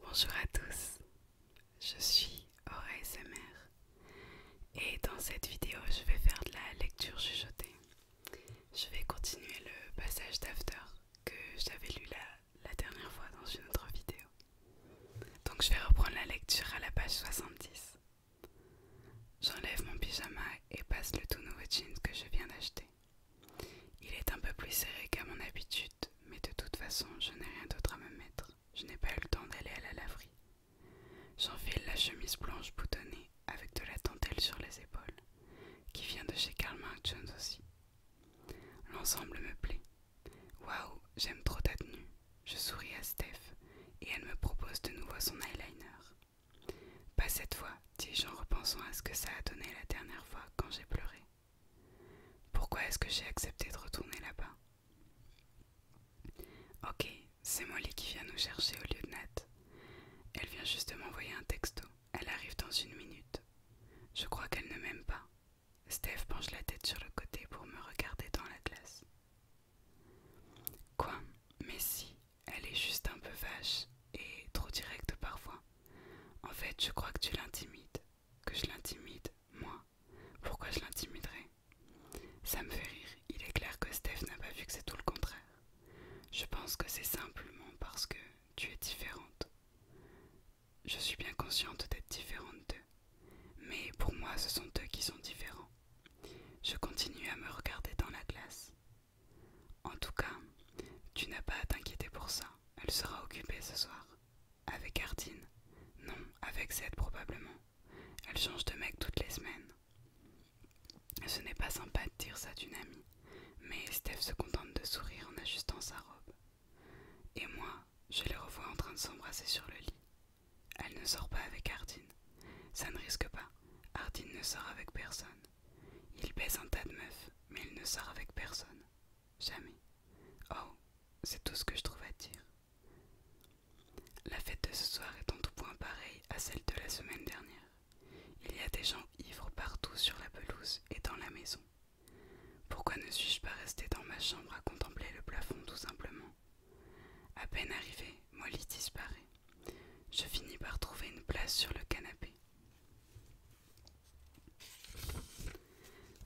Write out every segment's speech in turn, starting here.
Bonjour à tous, je suis Aura SMR et dans cette vidéo je vais faire de la lecture chuchotée. Je vais continuer le passage d'After que j'avais lu la, dernière fois dans une autre vidéo. Donc je vais reprendre la lecture à la page 70. J'enlève mon pyjama et passe le tout nouveau jean que je viens d'acheter. Il est un peu plus serré qu'à mon habitude mais de toute façon, je n'ai rien d'autre à me mettre. Je n'ai pas eu le temps d'aller à la laverie. J'enfile la chemise blanche boutonnée avec de la dentelle sur les épaules, qui vient de chez Karl Marx Jones aussi. L'ensemble me plaît. Waouh, j'aime trop ta tenue. Je souris à Steph et elle me propose de nouveau son eyeliner. Pas cette fois, dis-je en repensant à ce que ça a donné la dernière fois quand j'ai pleuré. Pourquoi est-ce que j'ai accepté de retourner là-bas Ok, c'est Molly qui vient nous chercher au lieu de Nat. Elle vient juste m'envoyer un texto. Elle arrive dans une minute. Je crois qu'elle ne m'aime pas. Steph penche la tête sur le côté pour me regarder dans la glace. Quoi Mais si, elle est juste un peu vache et trop directe parfois. En fait, je crois que tu l'intimides. Que je l'intimide, moi Pourquoi je l'intimiderais Ça me fait rire. Il est clair que Steph n'a pas vu que c'est tout le contraire. Je pense que c'est simplement parce que tu es différente. Je suis bien consciente d'être différente d'eux. Mais pour moi, ce sont eux qui sont différents. Je continue à me regarder dans la glace. En tout cas, tu n'as pas à t'inquiéter pour ça. Elle sera occupée ce soir. Avec Ardine Non, avec Zed probablement. Elle change de mec toutes les semaines. Ce n'est pas sympa de dire ça d'une amie, mais Steph se contente de sourire en ajustant sa robe. Et moi, je les revois en train de s'embrasser sur le lit. Elle ne sort pas avec Ardine. Ça ne risque pas. Ardine ne sort avec personne. Il baise un tas de meufs, mais il ne sort avec personne. Jamais. Oh, c'est tout ce que je trouve à dire. La fête de ce soir est en tout point pareille à celle de la semaine dernière. Il y a des gens ivres partout sur la pelouse et dans la maison. Pourquoi ne suis-je pas resté dans ma chambre à contempler le plafond tout simplement À peine arrivée, Molly disparaît. Je finis par trouver une place sur le canapé.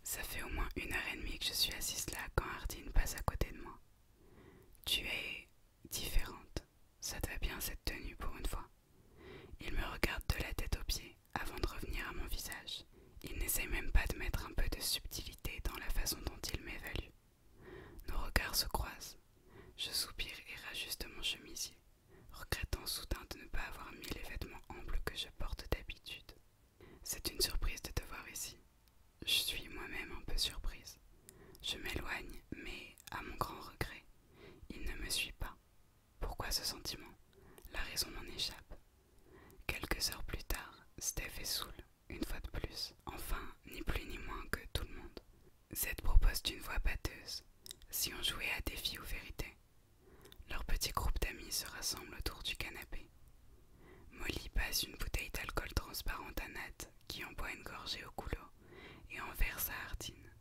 Ça fait au moins une heure et demie que je suis assise là quand Hardine passe à côté de moi. Tu es différente. Ça te va bien cette tenue pour une fois. Il me regarde de la tête aux pieds avant de revenir à mon visage. Il n'essaie même pas de mettre un peu de subtilité dans la façon dont il m'évalue. Nos regards se croisent. Je soupire et rajuste mon chemisier, regrettant soudain de ne pas avoir mis les vêtements amples que je porte d'habitude. C'est une surprise de te voir ici. Je suis moi-même un peu surprise. Je m'éloigne, mais à mon grand regret, il ne me suit pas. Pourquoi ce sentiment La raison m'en échappe. Quelques heures plus tard, Steph est saoul, une fois de plus, enfin, ni plus ni moins que tout le monde. Z propose d'une voix pâteuse. Si on jouait à défi ou vérité, leur petit groupe d'amis se rassemble autour du canapé. Molly passe une bouteille d'alcool transparente à Nat, qui en boit une gorgée au goulot, et en verse à Hardine,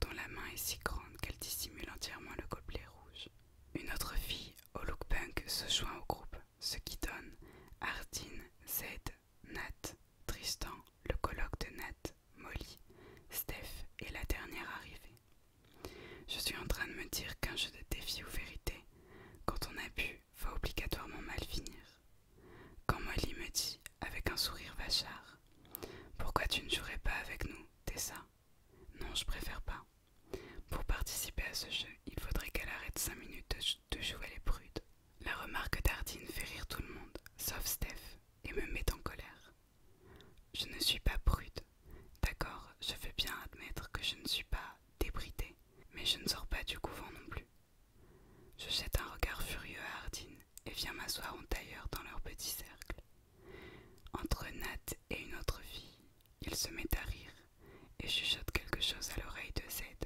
dont la main est si grande qu'elle dissimule entièrement le gobelet rouge. Une autre fille, au look se joint au groupe, ce qui donne Hardine, Zed, Nat, Tristan, le colloque de Nat, Molly, Steph et la dernière arrivée. Je suis en train de me dire qu'un jeu de défi ou vérité, quand on a bu, va obligatoirement mal finir. Quand Molly me dit, avec un sourire vachard, Pourquoi tu ne jouerais pas avec nous, Tessa Non, je préfère pas. Pour participer à ce jeu, il faudrait qu'elle arrête cinq minutes de, jouer les prudes. La remarque d'Ardine fait rire tout le monde, sauf Steph, et me met en colère. Je ne suis pas prude, d'accord, je veux bien admettre que je ne suis pas débridée, mais je ne sors pas du couvent non plus. Je jette un regard furieux à Ardine et viens m'asseoir en tailleur dans leur petit cercle. Entre Nat et une autre fille, il se met à rire et chuchote quelque chose à l'oreille de Zed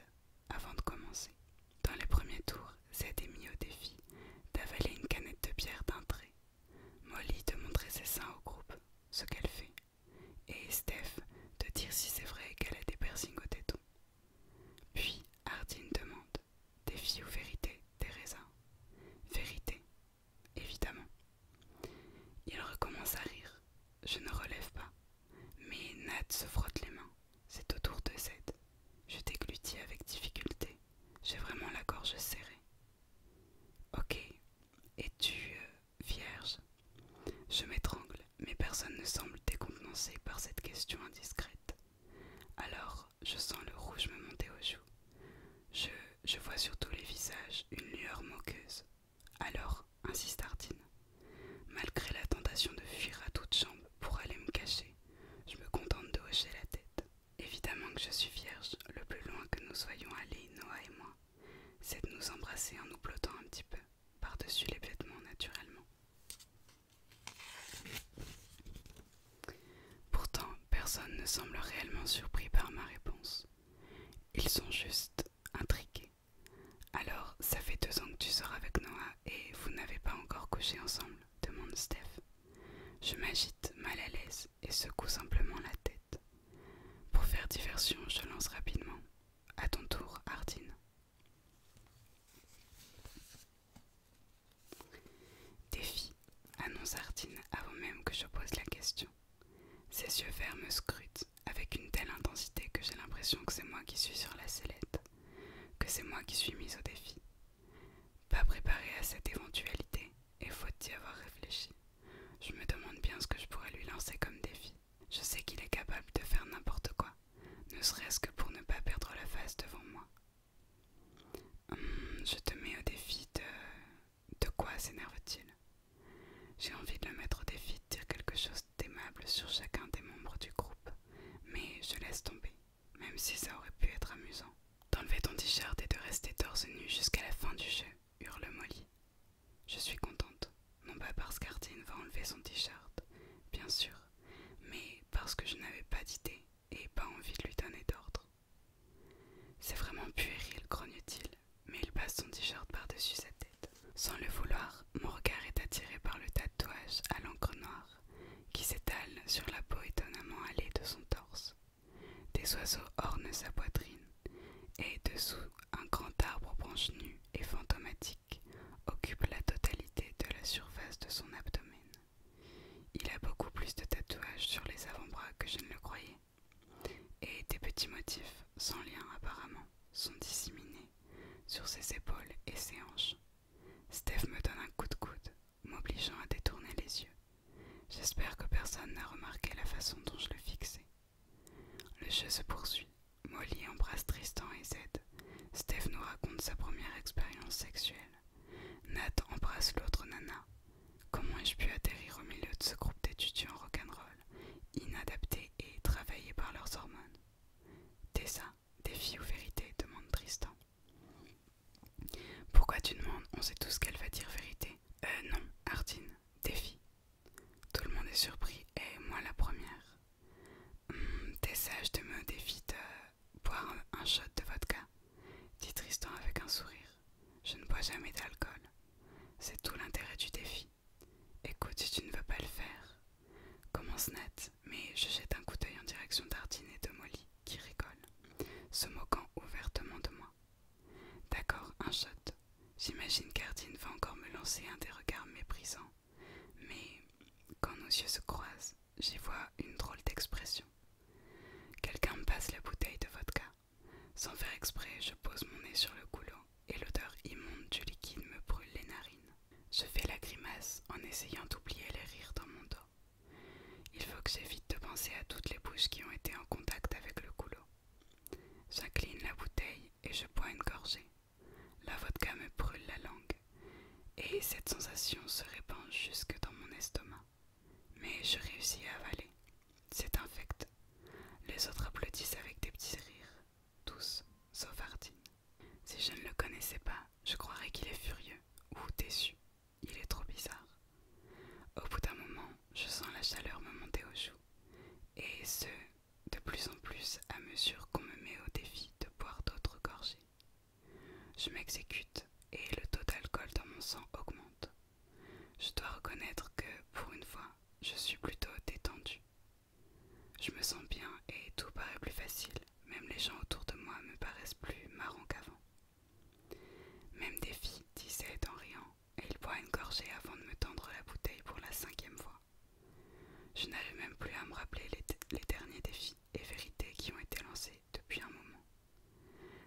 avant de commencer. Dans les premiers tours, Zed est mis au défi d'avaler une canette de bière d'un trait. Molly de montrer ses seins au groupe, ce qu'elle fait, et Steph de dire si c'est vrai qu'elle a des piercings au téton. Puis Hardin demande Défi ou vérité, Teresa Vérité, évidemment. Il recommence à rire. Je ne relève pas. Mais Nat se frotte les mains. C'est au tour de Z. Je déglutis avec difficulté. J'ai vraiment la gorge serrée. Ok, es-tu euh, vierge Je m'étrangle, mais personne ne semble décontenancé par cette question indiscrète. Alors, je sens le rouge me monter aux joues. Je, vois sur tous les visages une lueur moqueuse. Alors, insiste Artine, Malgré la tentation de fuir à toute jambes pour aller me cacher, je me contente de hocher la tête. Évidemment que je suis vierge, le plus loin que nous soyons allés, Noah et moi, c'est de nous embrasser en nous blottant un petit peu, par-dessus les vêtements naturellement. Pourtant, personne ne semble réellement surpris par ma réponse. Ils sont juste intrigués. Alors, ça fait deux ans que tu sors avec Noah et vous n'avez pas encore couché ensemble demande Steph. Je m'agite, mal à l'aise, et secoue simplement la tête. Pour faire diversion, je lance rapidement. À ton tour, Ardine. Défi, annonce Ardine avant même que je pose la question. Ses yeux verts me scrutent avec une telle intensité que j'ai l'impression que c'est moi qui suis sur la sellette, que c'est moi qui suis mise au défi. Pas préparé à cette éventualité, et faut d'y avoir réfléchi, je me demande bien ce que je pourrais lui lancer comme défi. Je sais qu'il est capable de faire n'importe quoi, ne serait-ce que pour ne pas perdre la face devant moi. Hum, je te mets au défi de... De quoi s'énerve-t-il J'ai envie de le mettre au défi de dire quelque chose d'aimable sur chacun des membres du groupe, mais je laisse tomber, même si ça aurait pu être amusant. D'enlever ton t-shirt et de rester torse nu jusqu'à la fin du jeu hurle Molly. Je suis contente, non pas parce qu'Artine va enlever son t-shirt, bien sûr, mais parce que je n'avais pas d'idée et pas envie de lui donner d'ordre. C'est vraiment puéril, grogne-t-il, mais il passe son t-shirt par-dessus sa tête. Sans le vouloir, mon regard est attiré par le tatouage à l'encre noire qui s'étale sur la peau étonnamment allée de son torse. Des oiseaux ornent sa poitrine, et dessous, un grand arbre branches nu et fantomatique occupe la totalité de la surface de son abdomen. Il a beaucoup plus de tatouages sur les avant-bras que je ne le croyais, et des petits motifs, sans lien apparemment, sont disséminés sur ses épaules et ses hanches. Steph me donne un coup de coude, m'obligeant à détourner les yeux. J'espère que personne n'a remarqué la façon dont je le fixais. Le jeu se poursuit. Molly embrasse Tristan et Z. Steph nous raconte sa première expérience sexuelle. Nat embrasse l'autre nana. Comment ai-je pu atterrir au milieu de ce groupe d'étudiants rock'n'roll, inadaptés et travaillés par leurs hormones Tessa, défi ou vérité demande Tristan. Pourquoi tu demandes On sait tous qu'elle va dire vérité. Euh, non, Hardine, défi. Tout le monde est surpris, et moi la première. Hum, t'es sage de me défier de euh, boire un, shot de vodka, dit Tristan avec un sourire. Je ne bois jamais d'alcool. C'est tout l'intérêt du défi. Écoute, si tu ne veux pas le faire, commence net, mais je jette un coup d'œil en direction d'Ardine et de Molly, qui rigolent, se moquant ouvertement de moi. D'accord, un shot. J'imagine qu'Ardine va encore me lancer un des regards méprisants, mais quand nos yeux se croisent, j'y vois une drôle d'expression. Quelqu'un me passe la bouteille de vodka. Sans faire exprès, je pose mon nez sur le goulot et l'odeur immonde du liquide me brûle les narines. Je fais la grimace en essayant d'oublier les rires dans mon dos. Il faut que j'évite de penser à toutes les bouches qui ont été en contact avec le goulot. J'incline la bouteille et je bois une gorgée. La vodka me brûle la langue et cette sensation se répand jusque dans mon estomac. Mais je réussis à avaler. C'est infect. Les autres applaudissent avec des petits rires, tous, sauf Ardine. Si je ne le connaissais pas, je croirais qu'il est furieux ou déçu. Il est trop bizarre. Au bout d'un moment, je sens la chaleur me monter aux joues. Et ce, de plus en plus à mesure qu'on me met au défi de boire d'autres gorgées. Je m'exécute et le taux d'alcool dans mon sang augmente. Je dois reconnaître que, pour une fois, je suis plutôt détendue. Je me sens bien et tout paraît plus facile, même les gens autour de moi me paraissent plus marrants qu'avant. Même Défi disait en riant, et il boit une gorgée avant de me tendre la bouteille pour la cinquième fois. Je n'avais même plus à me rappeler les, derniers défis et vérités qui ont été lancés depuis un moment.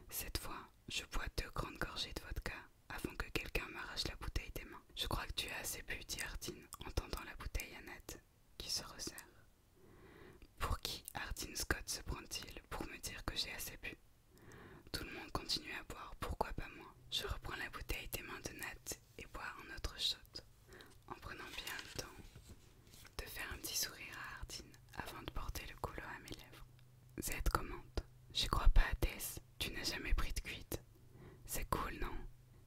Cette fois, je bois deux grandes gorgées de vodka avant que quelqu'un m'arrache la bouteille des mains. Je crois que tu as assez bu, dit Hardine en tendant la bouteille à Ned, qui se resserre. Pour qui Hardin Scott se prend-il pour me dire que j'ai assez bu tout le monde continue à boire, pourquoi pas moi Je reprends la bouteille des mains de Nat et bois un autre shot, en prenant bien le temps de faire un petit sourire à Hardine avant de porter le couloir à mes lèvres. Z commente Je crois pas, Tess, tu n'as jamais pris de cuite. C'est cool, non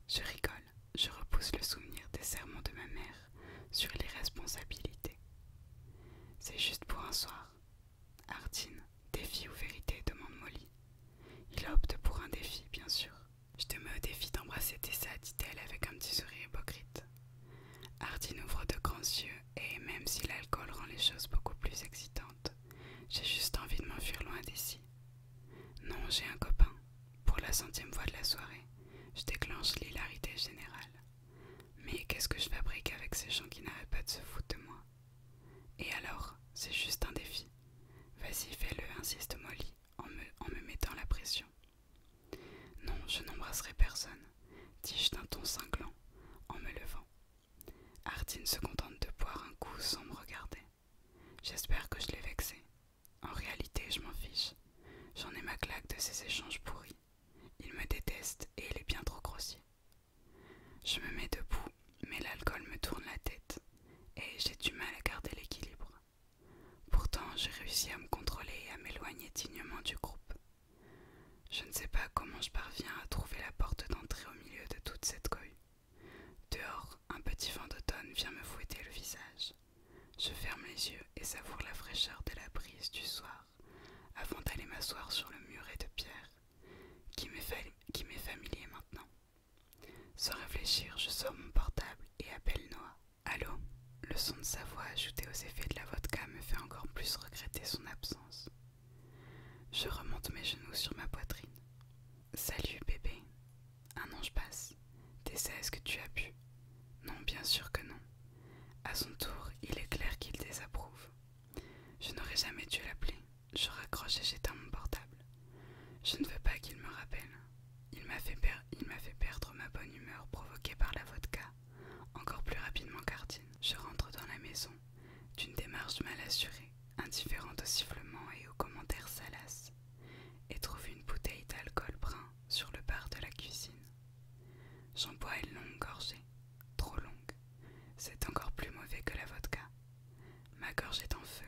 Je rigole, je repousse le souvenir des sermons de ma mère sur les responsabilités. C'est juste pour un soir, Artine, défi ou vérité demande Molly. Il opte pour un défi, bien sûr. Je te mets au défi d'embrasser Tessa, dit-elle avec un petit sourire hypocrite. Artine ouvre de grands yeux et, même si l'alcool rend les choses beaucoup plus excitantes, j'ai juste envie de m'enfuir loin d'ici. Non, j'ai un copain. Pour la centième fois de la soirée, je déclenche l'hilarité générale. Mais qu'est-ce que je fabrique avec ces gens qui n'arrêtent pas de se foutre de moi Et alors, c'est juste un défi. Vas-y, fais-le, insiste Molly, en me, mettant la pression. Non, je n'embrasserai personne, dis-je d'un ton cinglant, en me levant. artin se contente de boire un coup sans me regarder. J'espère que je l'ai vexé. En réalité, je m'en fiche. J'en ai ma claque de ces échanges pourris. Il me déteste et il est bien trop grossier. Je me mets debout, mais l'alcool me tourne la tête et j'ai du mal à garder l'équilibre. Pourtant, j'ai réussi à me contrôler et à m'éloigner dignement du groupe. Je ne sais pas comment je parviens à trouver la porte d'entrée au milieu de toute cette cohue. Dehors, un petit vent d'automne vient me fouetter le visage. Je ferme les yeux et savoure la fraîcheur de la brise du soir avant d'aller m'asseoir sur le muret de pierre qui m'est familier maintenant. Sans réfléchir, je sors mon portable et appelle Noah. Allô Le son de sa voix ajouté aux effets de la vodka me fait encore plus regretter son absence. Je remonte mes genoux sur ma poitrine. Salut bébé. Un ange passe. T'es est-ce que tu as bu Non, bien sûr que non. À son tour, il est clair qu'il désapprouve. Je n'aurais jamais dû l'appeler. Je raccroche et j'éteins mon portable. Je ne veux pas qu'il me rappelle. Il m'a fait, perdre ma bonne humeur provoquée par la vodka, encore plus rapidement qu'Artine. Je rentre dans la maison, d'une démarche mal assurée, indifférente aux sifflements et aux commentaires salaces, et trouve une bouteille d'alcool brun sur le bar de la cuisine. J'en bois une longue gorgée, trop longue. C'est encore plus mauvais que la vodka. Ma gorge est en feu.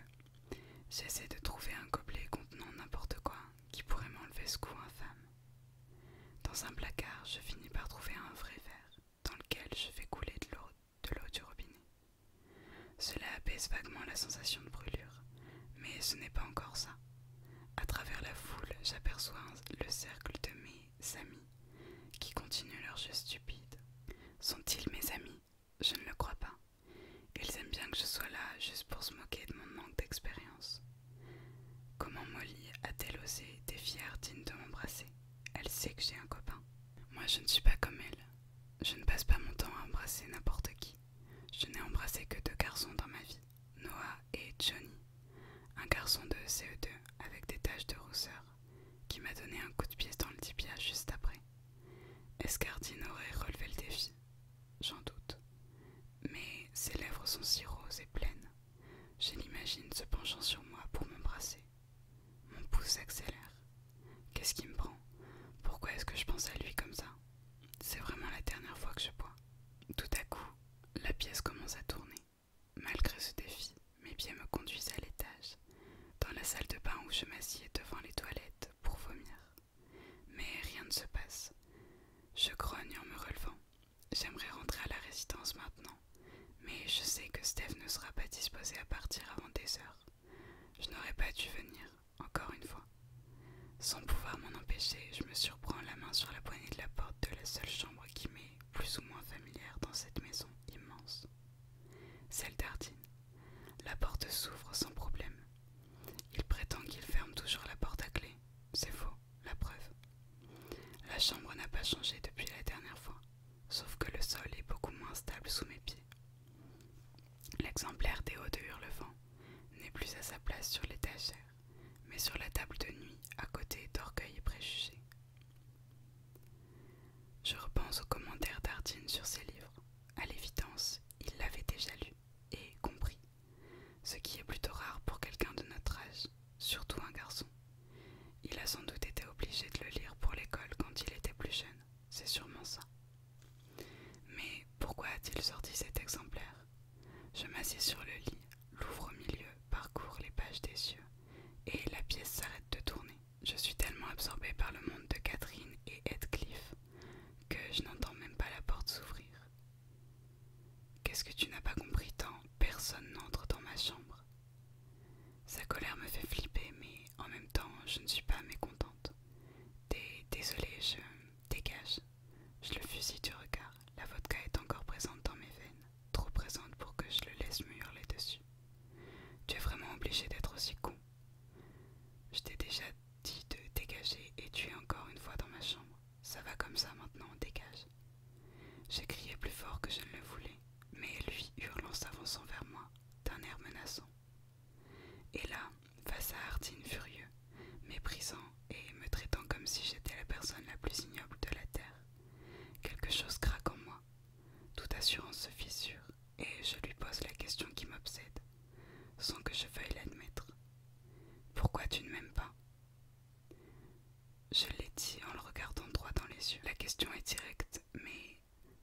J'essaie de trouver un gobelet contenant n'importe quoi qui pourrait m'enlever ce coup infâme. Dans un placard, je finis par trouver un vrai verre dans lequel je fais couler de l'eau du robinet. Cela apaise vaguement la sensation de brûlure, mais ce n'est pas encore ça. À travers la foule, j'aperçois le cercle de mes Samy, qui continuent leur jeu stupide. Sont-ils mes amis Je ne le crois pas. Ils aiment bien que je sois là juste pour se moquer de mon manque d'expérience. Comment Molly a-t-elle osé défier dignes de m'embrasser Elle sait que j'ai un copain. Moi, je ne suis pas comme elle. Je ne passe pas mon temps à embrasser n'importe qui. Je n'ai embrassé que deux garçons dans ma vie, Noah et Johnny. Un garçon de CE2 avec des taches de rousseur qui m'a donné un coup de pièce dans le tibia juste après. Est-ce Escardine aurait relevé le défi, j'en doute. Mais ses lèvres sont si roses et pleines. Je l'imagine se penchant sur moi pour m'embrasser. Mon pouce s'accélère. Qu'est-ce qui me prend Pourquoi est-ce que je pense à lui comme ça C'est vraiment la dernière fois que je bois. Tout à coup, la pièce commence à tourner. Malgré ce défi, mes pieds me conduisent à l'étage, dans la salle de bain où je m'assieds devant les toilettes pour vomir. Mais rien ne se passe. Je grogne en me relevant. J'aimerais rentrer à la résidence maintenant, mais je sais que Steph ne sera pas disposé à partir avant des heures. Je n'aurais pas dû venir, encore une fois. Sans pouvoir m'en empêcher, je me surprends la main sur la poignée de la porte de la seule chambre qui m'est plus ou moins familière dans cette maison immense. Celle d'Ardine. La porte s'ouvre sans problème. Il prétend qu'il ferme toujours la porte à clé. C'est faux, la preuve. La chambre n'a pas changé depuis la dernière fois, sauf que le sol est beaucoup moins stable sous mes pieds. L'exemplaire des hauts de Hurlevent n'est plus à sa place sur l'étagère mais sur la table de nuit à côté d'orgueil et Je repense aux commentaires d'Ardine sur ses livres. À l'évidence, il l'avait déjà lu et compris, ce qui est plutôt rare pour quelqu'un de notre âge, surtout un garçon. Il a sans doute été obligé de le lire pour l'école quand il était plus jeune, c'est sûrement ça. Mais pourquoi a-t-il sorti cet exemplaire Je m'assieds sur le lit, l'ouvre au milieu parcours les pages des cieux, et la pièce s'arrête de tourner. Je suis tellement absorbée par le monde de Catherine et Heathcliff que je n'entends même pas la porte s'ouvrir. Qu'est-ce que tu n'as pas compris tant personne n'entre dans ma chambre Sa colère me fait flipper, mais en même temps, je ne suis pas mécontente. Désolée, je dégage. Je le fusille du regard. La vodka est encore présente dans mes veines trop présente pour que je le laisse me hurler dessus. Tu es vraiment obligé d'être aussi con. Je t'ai déjà dit de dégager et tu es encore une fois dans ma chambre. Ça va comme ça maintenant, dégage. J'ai crié plus fort que je ne le voulais, mais lui hurlant s'avançant vers moi, d'un air menaçant. Et là, face à Ardine furieux, méprisant et me traitant comme si j'étais la personne la plus ignoble de la Terre, Quelque chose craque en moi. Toute assurance se fissure et je lui pose la question qui m'obsède, sans que je veuille l'admettre. Pourquoi tu ne m'aimes pas Je l'ai dit en le regardant droit dans les yeux. La question est directe, mais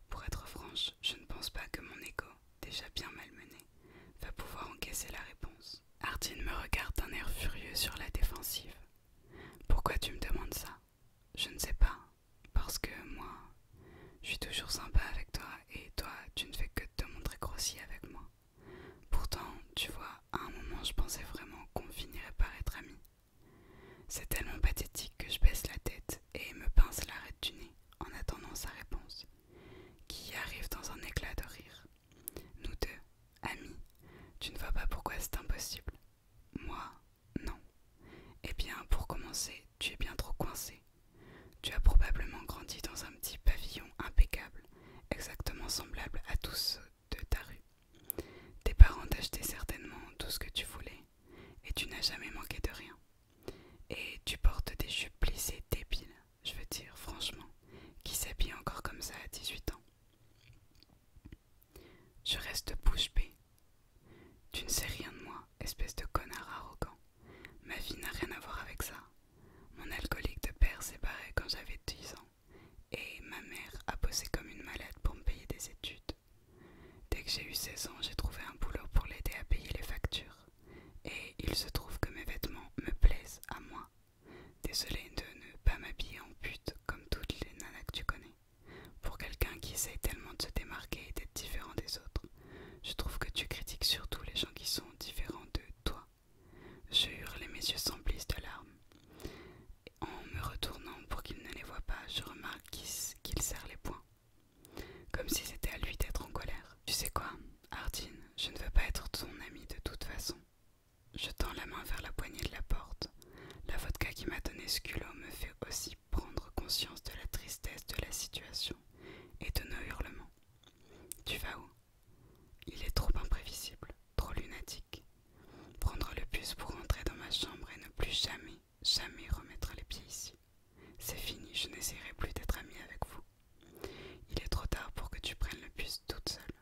pour être franche, je ne pense pas que mon égo, déjà bien malmené, va pouvoir encaisser la réponse. Hardin me regarde d'un air furieux sur la défensive. Pourquoi tu me demandes ça Je ne sais pas. Parce que moi, je suis toujours sympa avec toi et toi, tu ne fais que te montrer grossier avec moi. Pourtant, tu vois, à un moment, je pensais vraiment qu'on finirait par être amis. C'est tellement pathétique que je baisse la tête et me pince l'arête du nez en attendant sa réponse, qui arrive dans un éclat de rire. Nous deux, amis, tu ne vois pas pourquoi c'est impossible. Moi, non. Eh bien, pour commencer, tu es bien trop coincé. Tu as probablement grandi dans un petit pavillon impeccable, exactement semblable à tous ceux de ta rue. Tes parents t'achetaient certainement tout ce que tu voulais, et tu n'as jamais manqué de rien. Et tu portes des jupes plissées débiles, je veux dire franchement, qui s'habillent encore comme ça à 18 ans. Je reste bouche bée. Tu ne sais rien de moi, espèce de connard arrogant. Ma vie n'a rien à voir avec ça. Mon alcoolique de père s'est barré quand j'avais 10 ans et ma mère a bossé comme une malade pour me payer des études. Dès que j'ai eu 16 ans, j'ai trouvé un boulot pour l'aider à payer les factures. Et il se trouve que mes vêtements me plaisent à moi Désolée de ne pas m'habiller en pute comme toutes les nanas que tu connais. Pour quelqu'un qui essaye tellement de se démarquer et d'être différent des autres, je trouve que tu critiques surtout les gens qui sont différents de toi. Je hurle et mes yeux s'emplissent de larmes. En me retournant pour qu'il ne les voie pas, je remarque qu'il serre les poings. Comme si c'était à lui d'être en colère. Tu sais quoi, Hardine, je ne veux pas être ton ami de toute façon. Je tends la main vers la poignée de la porte, la vodka qui m'a donné ce culot me fait aussi prendre conscience de la tristesse de la situation et de nos hurlements. Tu vas où Il est trop imprévisible, trop lunatique. Prendre le bus pour rentrer dans ma chambre et ne plus jamais, jamais remettre les pieds ici. C'est fini, je n'essaierai plus d'être amie avec vous. Il est trop tard pour que tu prennes le bus toute seule.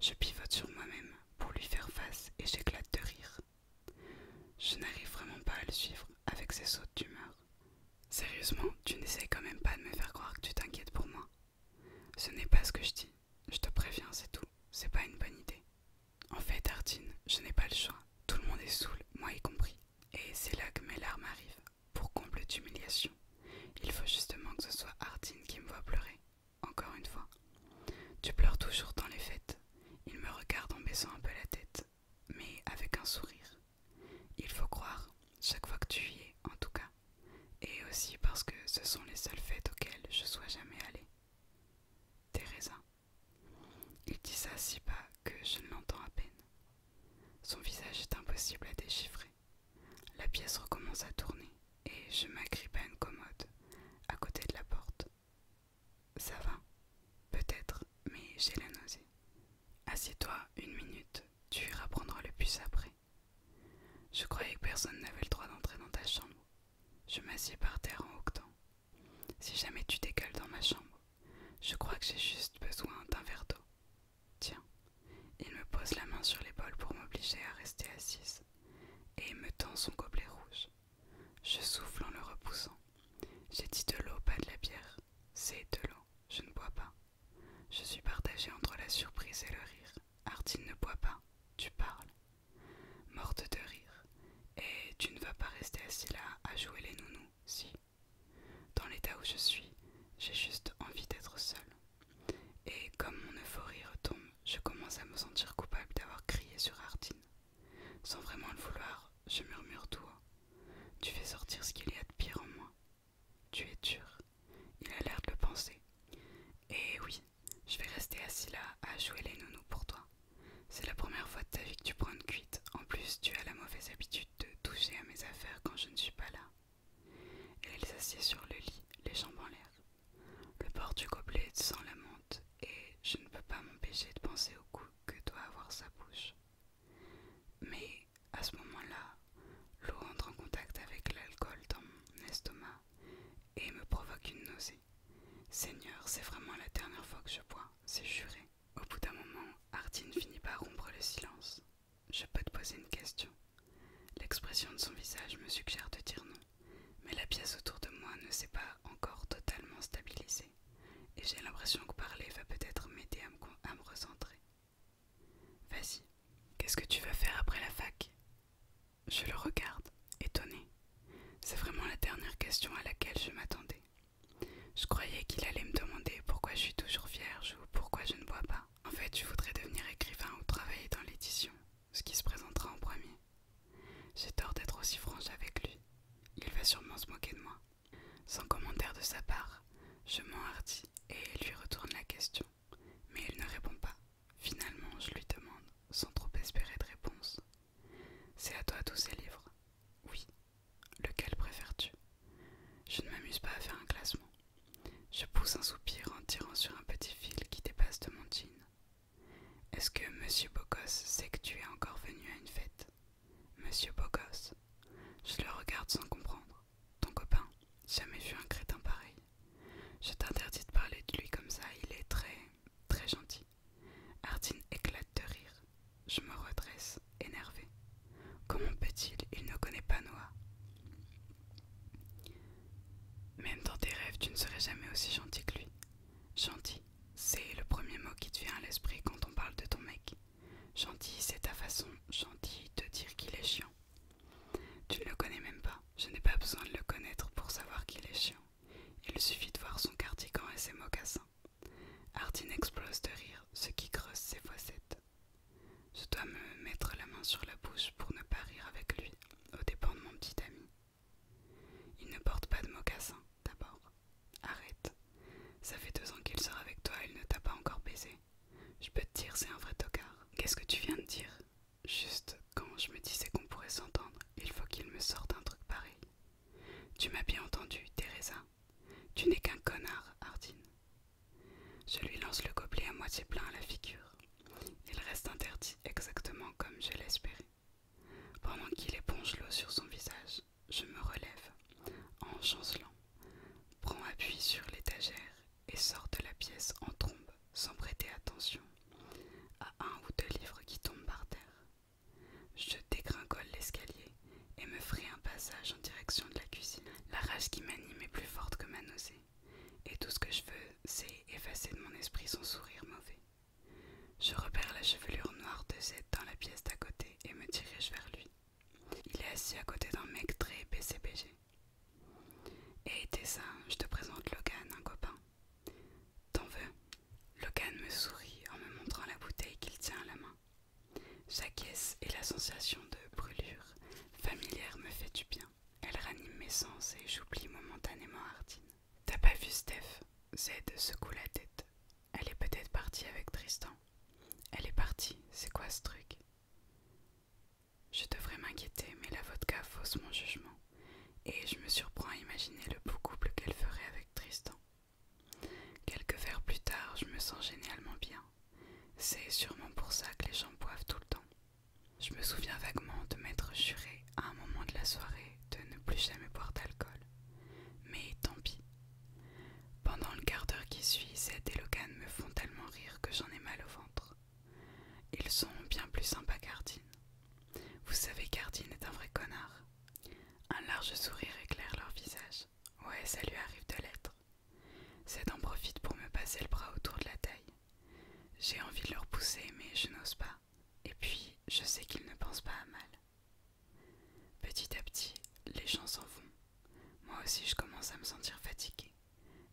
Je pivote sur moi-même, pour lui faire face et j'éclate de rire. Je n'arrive vraiment pas à le suivre avec ses sautes d'humeur. Sérieusement, tu n'essayes quand même pas de me faire croire que tu t'inquiètes pour moi. Ce n'est pas ce que je dis. Je te préviens, c'est tout. C'est pas une bonne idée. En fait, Artine, je n'ai pas le choix. Tout le monde est saoul, moi y compris. Et c'est là que mes larmes arrivent. Pour comble d'humiliation, il faut justement que ce soit Artine qui me voit pleurer. Encore une fois. Tu pleures toujours dans les fêtes. Il me regarde en baissant un peu la tête, mais avec un sourire. Il faut croire, chaque fois que tu y es, en tout cas. Et aussi parce que ce sont les seules fêtes auxquelles je sois jamais allée. Teresa. Il dit ça si bas que je ne l'entends à peine. Son visage est impossible à déchiffrer. La pièce recommence à tourner et je m'agrippe à une commode à côté de la porte. Ça va, peut-être, mais j'ai la nausée. Assieds-toi une minute, tu iras prendre le puce après. Je croyais que personne n'avait le droit d'entrer dans ta chambre. Je m'assieds par terre en octant. Si jamais tu décales dans ma chambre, je crois que j'ai juste besoin d'un verre d'eau. Tiens, il me pose la main sur l'épaule pour m'obliger à rester assise, et il me tend son gobelet rouge. Je souffle en le repoussant. J'ai dit de l'eau, pas de la bière. C'est de l'eau, je ne bois pas. Je suis partagée entre la surprise et le rire. Artine ne boit pas, tu parles. Morte de rire. Et tu ne vas pas rester assis là à jouer les nounous, si. Dans l'état où je suis, j'ai juste envie d'être seule. Et comme mon euphorie retombe, je commence à me sentir coupable d'avoir crié sur Artin. Sans vraiment le vouloir, je murmure tout Tu fais sortir ce qu'il y a de pire en moi. Tu es dur. Il a l'air de le penser. Et oui, je vais rester assis là à jouer les nounous pour toi. C'est la première fois de ta vie que tu prends une cuite. En plus, tu as la mauvaise habitude de toucher à mes affaires quand je ne suis pas là. Elle s'assied sur le lit, les jambes en l'air. Le port du gobelet sans la menthe, et je ne peux pas m'empêcher de penser au goût que doit avoir sa bouche. Mais à ce moment-là, l'eau entre en contact avec l'alcool dans mon estomac et me provoque une nausée. Seigneur, c'est vraiment la dernière fois que je bois, c'est juré. Au bout d'un moment, Artine finit par rompre le silence. Je peux te poser une question L'expression de son visage me suggère de dire non, mais la pièce autour de moi ne s'est pas encore totalement stabilisée, et j'ai l'impression que parler va peut-être m'aider à, me recentrer. Vas-y, qu'est-ce que tu vas faire après la fac Je le regarde, étonné. C'est vraiment la dernière question à laquelle je m'attendais. Je croyais qu'il allait me demander pourquoi je suis toujours vierge ou pourquoi je ne bois pas. En fait, je voudrais devenir écrivain ou travailler dans l'édition, ce qui se présentera en premier. J'ai tort d'être aussi franche avec lui. Il va sûrement se moquer de moi. Sans commentaire de sa part, je m'enhardis et lui retourne la question. Mais il ne répond pas. Finalement, je lui demande, sans trop espérer de réponse. C'est à toi tous ces livres Oui. Lequel préfères-tu Je ne m'amuse pas à faire un classement. Je pousse un soupir en tirant sur un petit fil qui dépasse de mon jean. Est-ce que Monsieur Bocos sait que tu es encore venu à une fête Monsieur Bocos Je le regarde sans comprendre. Ton copain, jamais vu un crétin pareil. Je t'interdis de parler de lui comme ça, il est très, très gentil. Hardine éclate de rire. Je me redresse, énervé. Comment peut-il Il ne connaît pas Noah. Même dans tes rêves, tu ne serais jamais aussi gentil que lui. Gentil, c'est le premier mot qui te vient à l'esprit quand on parle de ton mec. Gentil, c'est ta façon gentil, de dire qu'il est chiant. Tu ne le connais même pas, je n'ai pas besoin de le connaître pour savoir qu'il est chiant. Il suffit de voir son cardigan et ses mocassins. Hardin explose de rire, ce qui creuse ses fossettes. Je dois me mettre la main sur la bouche pour ne pas rire avec lui au dépens de mon petit ami. Il ne porte pas de mocassin, d'abord. Arrête. Ça fait deux ans qu'il sort avec toi, il ne t'a pas encore baisé. Je peux te dire, c'est un vrai tocard. Qu'est-ce que tu viens de dire Juste quand je me disais qu'on pourrait s'entendre, il faut qu'il me sorte un truc pareil. Tu m'as bien entendu, Teresa. Tu n'es qu'un connard, Ardine. Je lui lance le gobelet à moitié plein à la figure. Il reste interdit exactement comme je l'espérais. Pendant qu'il éponge l'eau sur son visage, je me relève, en chancelant, prends appui sur l'étagère et sors de la pièce en trombe, sans prêter attention à un ou deux livres qui tombent par terre. Je dégringole l'escalier et me ferai un passage en direction de la cuisine. La rage qui m'anime est plus forte que ma nausée et tout ce que je veux, c'est effacer de mon esprit son sourire mauvais. Je repère la chevelure noire de Z dans la pièce d'à côté et me dirige vers lui. Il est assis à côté d'un mec très PCPG Et Tessa, ça, je te présente Logan, un copain. T'en veux Logan me sourit en me montrant la bouteille qu'il tient à la main. Sa caisse et la sensation de brûlure familière me fait du bien. Elle ranime mes sens et j'oublie momentanément Hardine. T'as pas vu Steph Z secoue la tête. Elle est peut-être partie avec Tristan. Elle est partie, c'est quoi ce truc Je devrais m'inquiéter, mais la vodka fausse mon jugement. Et je me surprends à imaginer le beau couple qu'elle ferait avec Tristan. Quelques verres plus tard, je me sens génialement bien. C'est sûrement pour ça que les gens boivent tout le temps. Je me souviens vaguement de m'être juré à un moment de la soirée de ne plus jamais boire d'alcool. Mais tant pis. Pendant le quart d'heure qui suit, Zed et Logan me font tellement rire que j'en ai mal au ventre. Ils sont bien plus sympas qu'Ardine. Vous savez qu'Ardine est un vrai connard. Un large sourire éclaire leur visage. Ouais, ça lui arrive de l'être. c'est en profite pour me passer le bras autour de la taille. J'ai envie de leur pousser, mais je n'ose pas. Et puis, je sais qu'ils ne pensent pas à mal. Petit à petit, les gens s'en vont. Moi aussi, je commence à me sentir fatiguée.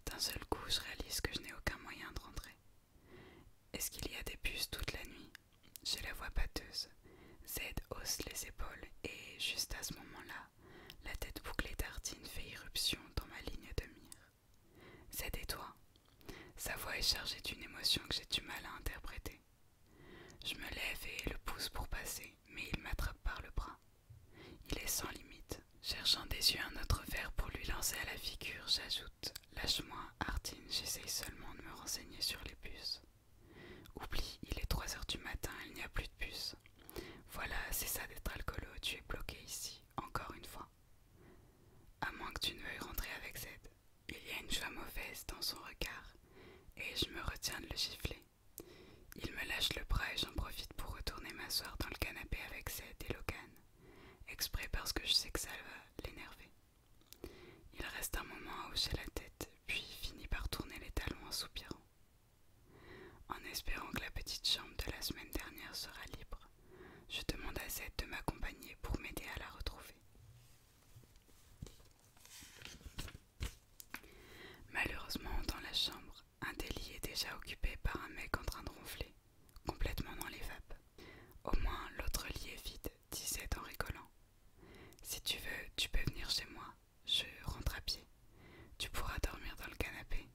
D'un seul coup, je réalise que je n'ai aucun moyen de rentrer. Est-ce qu'il y a des puces toute la nuit J'ai la voix pâteuse. Z hausse les épaules et, juste à ce moment-là, la tête bouclée d'Artine fait irruption dans ma ligne de mire. C'est des toi. Sa voix est chargée d'une émotion que j'ai du mal à interpréter. Je me lève et le pousse pour passer, mais il m'attrape par le bras. Il est sans limite. Cherchant des yeux un autre verre pour lui lancer à la figure, j'ajoute Lâche-moi, Artine, j'essaye seulement de me renseigner sur les puces. Oublie, il est 3 heures du matin, il n'y a plus de puces. Voilà, c'est ça d'être alcoolo, tu es bloqué ici, encore une fois. À moins que tu ne veuilles rentrer avec Zed. Il y a une joie mauvaise dans son regard, et je me retiens de le gifler. Il me lâche le bras et j'en profite pour retourner m'asseoir dans le canapé avec Zed et Logan, exprès parce que je sais que ça va l'énerver. Il reste un moment à hocher la tête, puis finit par tourner les talons en soupirant. En espérant que la petite chambre de la semaine dernière sera libre, je demande à Zed de m'accompagner pour m'aider à la retrouver. Malheureusement, dans la chambre, un des lits est déjà occupé par un mec en train de ronfler, complètement dans les vapes. Au moins, l'autre lit est vide, dit Zed en rigolant. Si tu veux, tu peux venir chez moi. Je rentre à pied. Tu pourras dormir dans le canapé.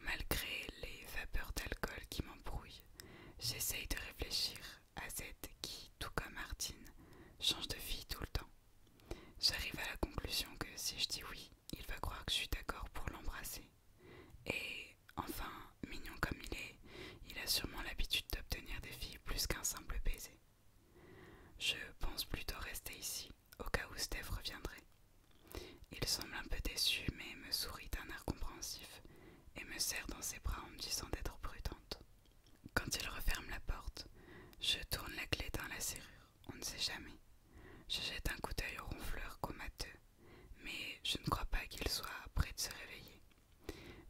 Malgré les vapeurs d'alcool qui m'embrouillent, j'essaye de réfléchir à Z qui, tout comme Martine, change de fille tout le temps. J'arrive à la conclusion que si je dis oui, il va croire que je suis d'accord pour l'embrasser. Et enfin, mignon comme il est, il a sûrement l'habitude d'obtenir des filles plus qu'un simple baiser. Je pense plutôt rester ici, au cas où Steph reviendrait. Il semble un peu déçu, mais me sourit d'un air compréhensif et me serre dans ses bras en me disant d'être prudente. Quand il referme la porte, je tourne la clé dans la serrure, on ne sait jamais. Je jette un coup d'œil au ronfleur comateux, mais je ne crois pas qu'il soit prêt de se réveiller.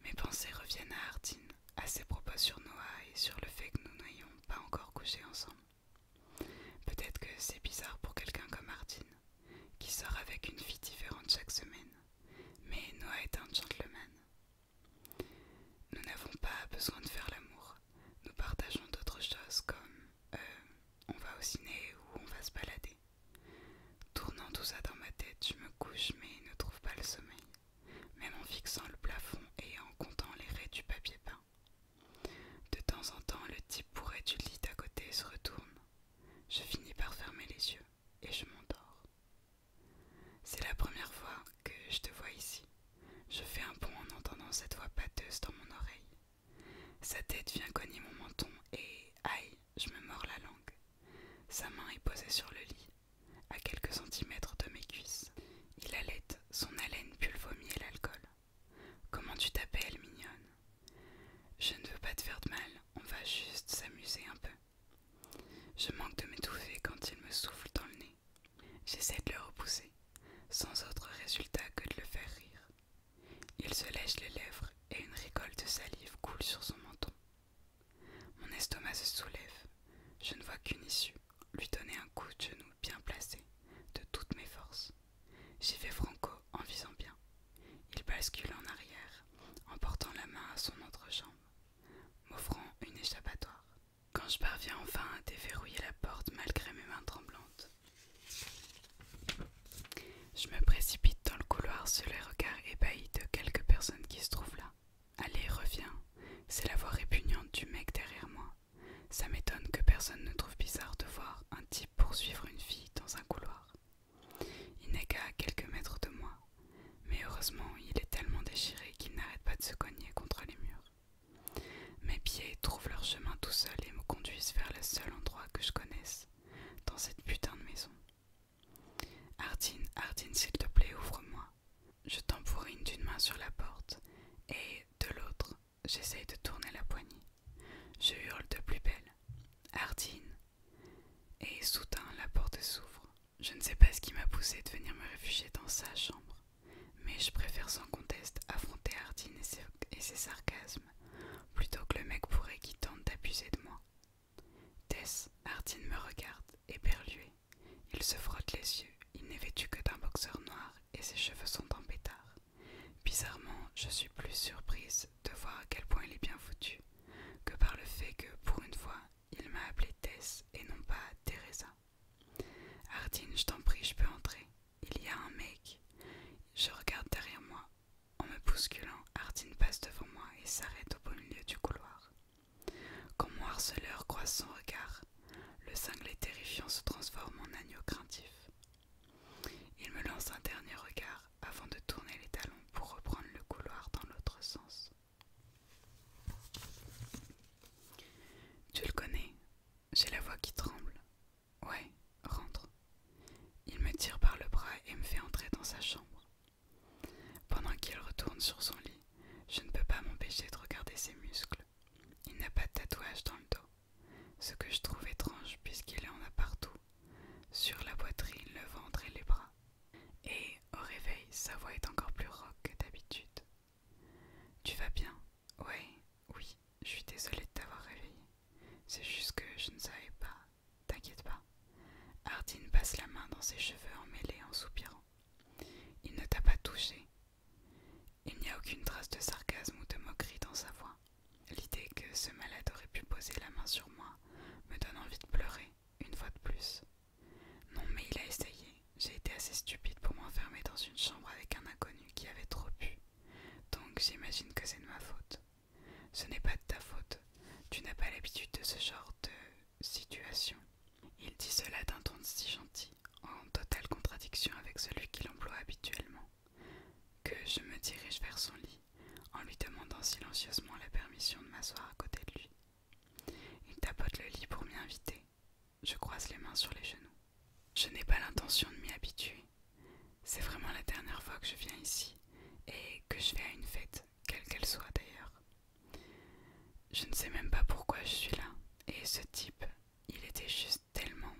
Mes pensées reviennent à Hardin, à ses propos sur Noah et sur le fait que nous n'ayons pas encore couché ensemble. Peut-être que c'est bizarre pour quelqu'un comme Martine, qui sort avec une fille différente chaque semaine, mais Noah est un gentleman. Nous n'avons pas besoin de faire l'amour, nous partageons d'autres choses comme euh, on va au ciné ou on va se balader. Tournant tout ça dans ma tête, je me couche mais ne trouve pas le sommeil, même en fixant le plafond et en comptant les raies du papier peint. De temps en temps, le type bourré du lit à côté se retourne. Je finis par fermer les yeux et je m'endors. C'est la première fois que je te vois ici. Je fais un bond en entendant cette voix pâteuse dans mon oreille. Sa tête vient cogner mon menton et, aïe, je me mords la langue. Sa main est posée sur le lit, à quelques centimètres de mes cuisses. Il allait son haleine pulvomie l'alcool. Comment tu t'appelles, mignonne Je ne veux pas te faire de mal, on va juste s'amuser un peu. Je manque de m'étouffer quand il me souffle dans le nez. J'essaie de le repousser, sans autre résultat que de le faire rire. Il se lèche les lèvres et une récolte de salive coule sur son menton. Mon estomac se soulève. Je ne vois qu'une issue, lui donner un coup de genou bien placé, de toutes mes forces. J'y vais franco en visant bien. Il bascule en arrière, en portant la main à son entrejambe, m'offrant une échappatoire. Quand je parviens enfin à déverrouiller la porte malgré mes mains tremblantes, je me précipite dans le couloir sous les regards ébahis de quelques personnes qui se trouvent là. Allez, reviens. C'est la voix répugnante du mec derrière moi ça m'étonne que personne ne trouve bizarre de voir un type poursuivre une fille dans un couloir. Il n'est qu'à quelques mètres de moi, mais heureusement il est tellement déchiré qu'il n'arrête pas de se cogner contre les murs. Mes pieds trouvent leur chemin tout seuls et me conduisent vers le seul endroit que je connaisse, dans cette putain de maison. Ardine, Hardin, s'il te plaît, ouvre-moi. Je tambourine d'une main sur la porte et de l'autre J'essaye de tourner la poignée. Je hurle de plus belle. Hardine Et soudain, la porte s'ouvre. Je ne sais pas ce qui m'a poussé de venir me réfugier dans sa chambre, mais je préfère sans conteste affronter Hardine et ses, sarcasmes plutôt que le mec pourrait qui tente d'abuser de moi. Tess, Hardine me regarde, éperlué, Il se frotte les yeux, il n'est vêtu que d'un boxeur noir et ses cheveux sont en pétard. Bizarrement, je suis plus surprise de voir à quel point il est bien foutu que par le fait que, pour une fois, il m'a appelé Tess et non pas Teresa. Hardin, je t'en prie, je peux entrer. Il y a un mec. Je regarde derrière moi. En me bousculant, Hardin passe devant moi et s'arrête au beau milieu du couloir. Quand mon harceleur croise son regard, le cinglet terrifiant se transforme en agneau craintif. Il me lance un dernier regard avant de tourner les talons pour reprendre le couloir dans l'autre sens. Tu le connais J'ai la voix qui tremble. Ouais, rentre. Il me tire par le bras et me fait entrer dans sa chambre. Pendant qu'il retourne sur son lit, je ne peux pas m'empêcher de regarder ses muscles. Il n'a pas de tatouage dans le dos, ce que je trouve étrange puisqu'il en a partout, sur la poitrine, le ventre et les bras. Et au réveil, sa voix est encore plus rauque que d'habitude. Tu vas bien Ouais, oui, je suis désolée de t'avoir réveillé. C'est juste que je ne savais pas. T'inquiète pas. Hardine passe la main dans ses cheveux emmêlés en soupirant. Il ne t'a pas touché, il n'y a aucune trace de sarcasme ou de moquerie dans sa voix. L'idée que ce malade aurait pu poser la main sur moi me donne envie de pleurer, une fois de plus. Non, mais il a essayé. J'ai été assez stupide pour m'enfermer dans une chambre avec un inconnu qui avait trop pu, Donc j'imagine que c'est de ma faute. Ce n'est pas de ta faute. Tu n'as pas l'habitude de ce genre de situation. Il dit cela d'un ton si gentil, en totale contradiction avec celui qu'il emploie habituellement que je me dirige vers son lit en lui demandant silencieusement la permission de m'asseoir à côté de lui. Il tapote le lit pour m'y inviter. Je croise les mains sur les genoux. Je n'ai pas l'intention de m'y habituer. C'est vraiment la dernière fois que je viens ici et que je vais à une fête, quelle qu'elle soit d'ailleurs. Je ne sais même pas pourquoi je suis là. Et ce type, il était juste tellement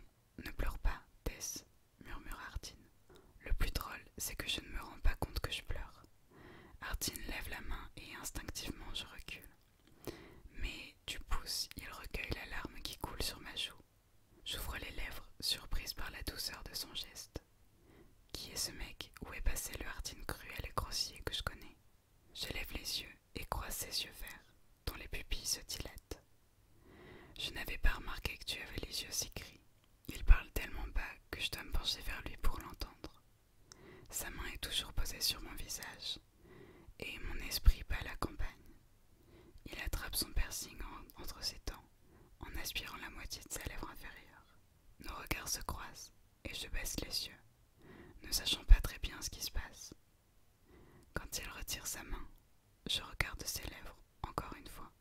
ne pleure pas, Tess, murmura Artine Le plus drôle, c'est que je ne me rends pas compte que je pleure. Artine lève la main et instinctivement je recule. Mais du pouce, il recueille la larme qui coule sur ma joue. J'ouvre les lèvres, surprise par la douceur de son geste. Qui est ce mec Où est passé le Hardine cruel et grossier que je connais Je lève les yeux et croise ses yeux verts, dont les pupilles se dilatent. Je n'avais pas remarqué que tu avais les yeux si gris. Il parle tellement bas que je dois me pencher vers lui pour l'entendre. Sa main est toujours posée sur mon visage, et mon esprit bat la campagne. Il attrape son piercing entre ses dents, en aspirant la moitié de sa lèvre inférieure. Nos regards se croisent, et je baisse les yeux, ne sachant pas très bien ce qui se passe. Quand il retire sa main, je regarde ses lèvres encore une fois,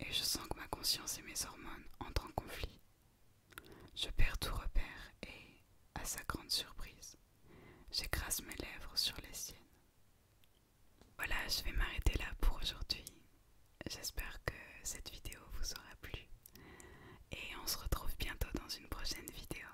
et je sens que ma conscience et mes hormones entrent en conflit. Je perds tout repère et, à sa grande surprise, j'écrase mes lèvres sur les siennes. Voilà, je vais m'arrêter là pour aujourd'hui. J'espère que cette vidéo vous aura plu et on se retrouve bientôt dans une prochaine vidéo.